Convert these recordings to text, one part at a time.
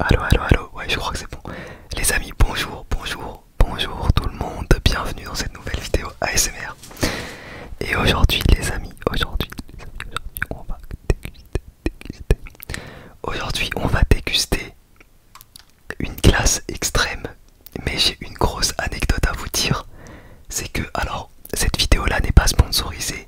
Allo, allo, allo, ouais, je crois que c'est bon. Les amis, bonjour, bonjour, bonjour tout le monde, bienvenue dans cette nouvelle vidéo ASMR. Et aujourd'hui, les amis, aujourd'hui, on va déguster, Aujourd'hui, on va déguster une glace extrême, mais j'ai une grosse anecdote à vous dire. C'est que, alors, cette vidéo là n'est pas sponsorisée,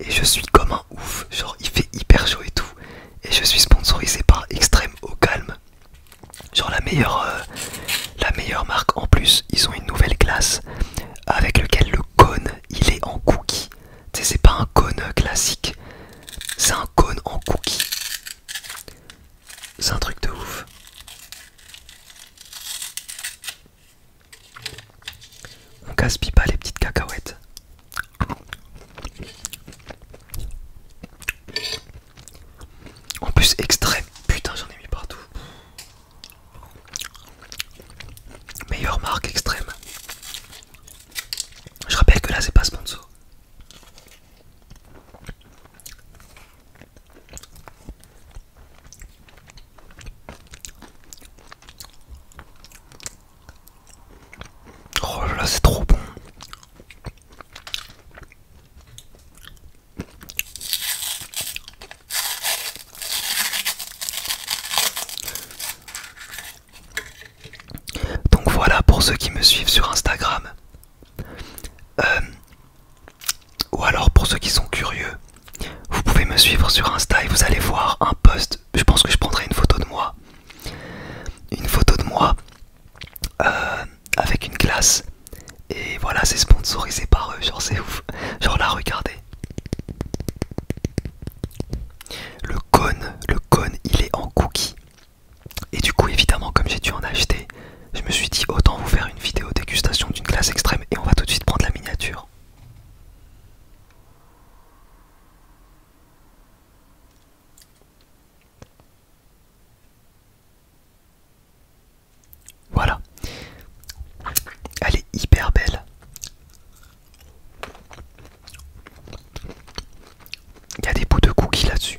et je suis comme un ouf, genre il fait hyper chaud et tout. Et je suis sponsorisé par Extrême au calme. Genre la meilleure, euh, la meilleure marque en plus, ils ont une nouvelle classe avec lequel le cône il est en cookie. Tu sais c'est pas un cône classique, c'est un cône en cookie. C'est un truc de ouf. On casse pas les petites cacahuètes. En plus extrême, putain j'en ai mis partout. Meilleure marque extrême. Je rappelle que là c'est pas sponsor. Oh là c'est trop bon. Donc voilà pour ceux qui me suivent sur Instagram. Euh, ou alors pour ceux qui sont curieux, vous pouvez me suivre sur Insta et vous allez voir un post. Je pense que je prendrai une photo de moi. Une photo de moi euh, avec une glace. Et voilà, c'est sponsorisé par eux. Genre, c'est ouf. Genre, là, regardez. Le cône, le cône, il est en cookie. Et du coup, évidemment, comme j'ai dû en acheter, je me suis dit autant vous faire une vidéo dégustation d'une glace extrême et on va tout de suite prendre la miniature. Voilà, elle est hyper belle. Il y a des bouts de cookies là-dessus.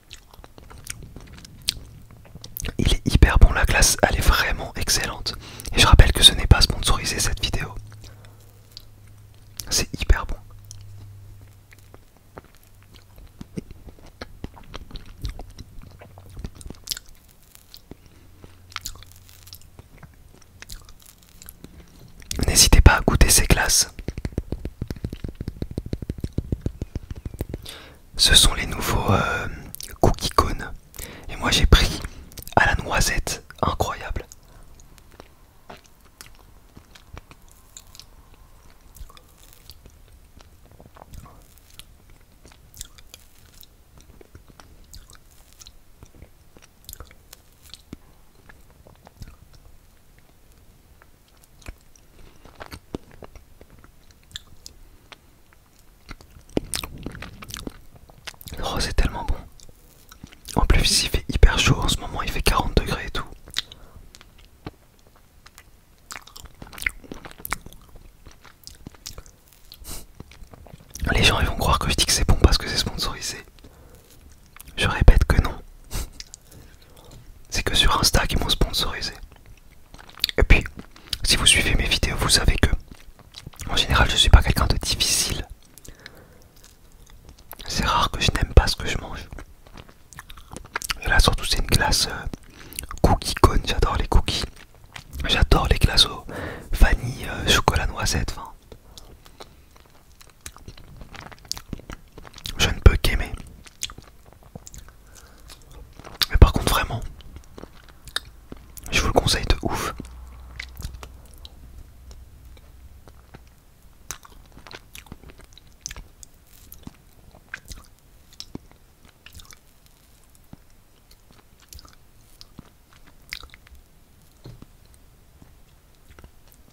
Il est hyper bon, la glace, elle est vraiment excellente. Et je rappelle que ce n'est pas sponsorisé cette vidéo. C'est hyper bon. N'hésitez pas à goûter ces glaces ce sont les nouveaux euh, cookie cones, Et moi j'ai pris à la noisette, incroyable. Oh c'est tellement bon. En plus il fait hyper chaud en ce moment, il fait 40 degrés et tout. Les gens ils vont croire que je dis que c'est bon parce que c'est sponsorisé. Je répète que non. C'est que sur Insta qu'ils m'ont sponsorisé. Et puis, si vous suivez mes vidéos, vous savez que, en général, je suis pas quelqu'un de difficile. C'est rare que je n'aime pas ce que je mange. Et là, surtout, c'est une glace euh, cookie cone. J'adore les cookies. J'adore les glaces au vanille, euh, chocolat, noisette je ne peux qu'aimer. Mais par contre vraiment, je vous le conseille de ouf.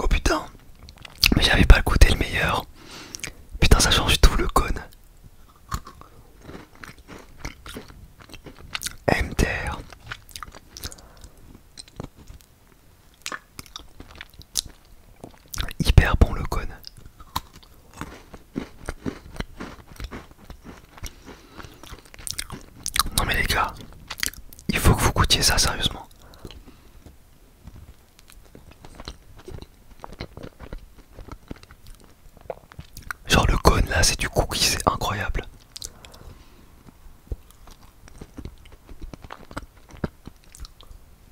Oh putain, mais j'avais pas goûté le meilleur. Putain, ça change tout le cône. Hyper bon le cône. Non mais les gars, il faut que vous goûtiez ça sérieusement. Genre le cône là, c'est du cookie, c'est incroyable.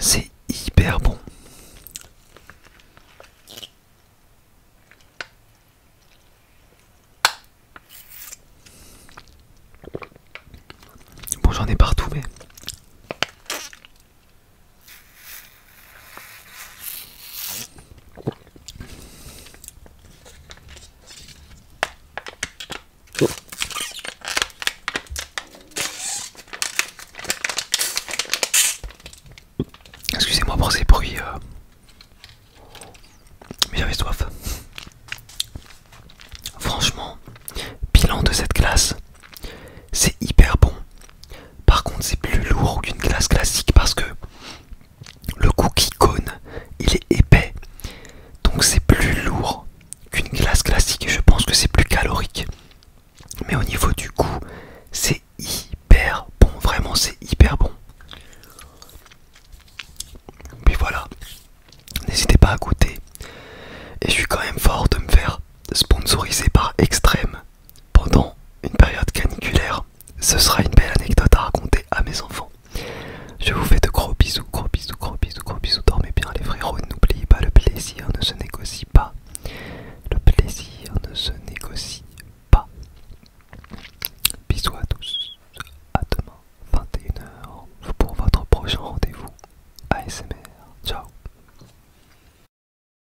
C'est hyper bon. Bon, j'en ai partout, mais Excusez-moi pour ces bruits, euh, mais j'avais soif. Franchement, bilan de cette classe, c'est hyper bon. Par contre, c'est plus lourd qu'une glace classique parce que le cookie cone, il est épais. Donc c'est plus lourd qu'une glace classique. et Je pense que c'est plus calorique. Mais au niveau du goût, c'est hyper bon. Vraiment, c'est hyper bon. Puis voilà. N'hésitez pas à goûter. Et je suis quand même fort de me faire sponsoriser par Extreme pendant une période caniculaire. Ce sera une belle anecdote à raconter à mes enfants. Je vous fais de gros bisous, gros bisous, gros bisous, gros bisous. Dormez bien les frérots, n'oubliez pas le plaisir ne se négocie pas. Le plaisir ne se négocie pas. Bisous à tous. À demain 21h pour votre prochain rendez-vous ASMR. Ciao.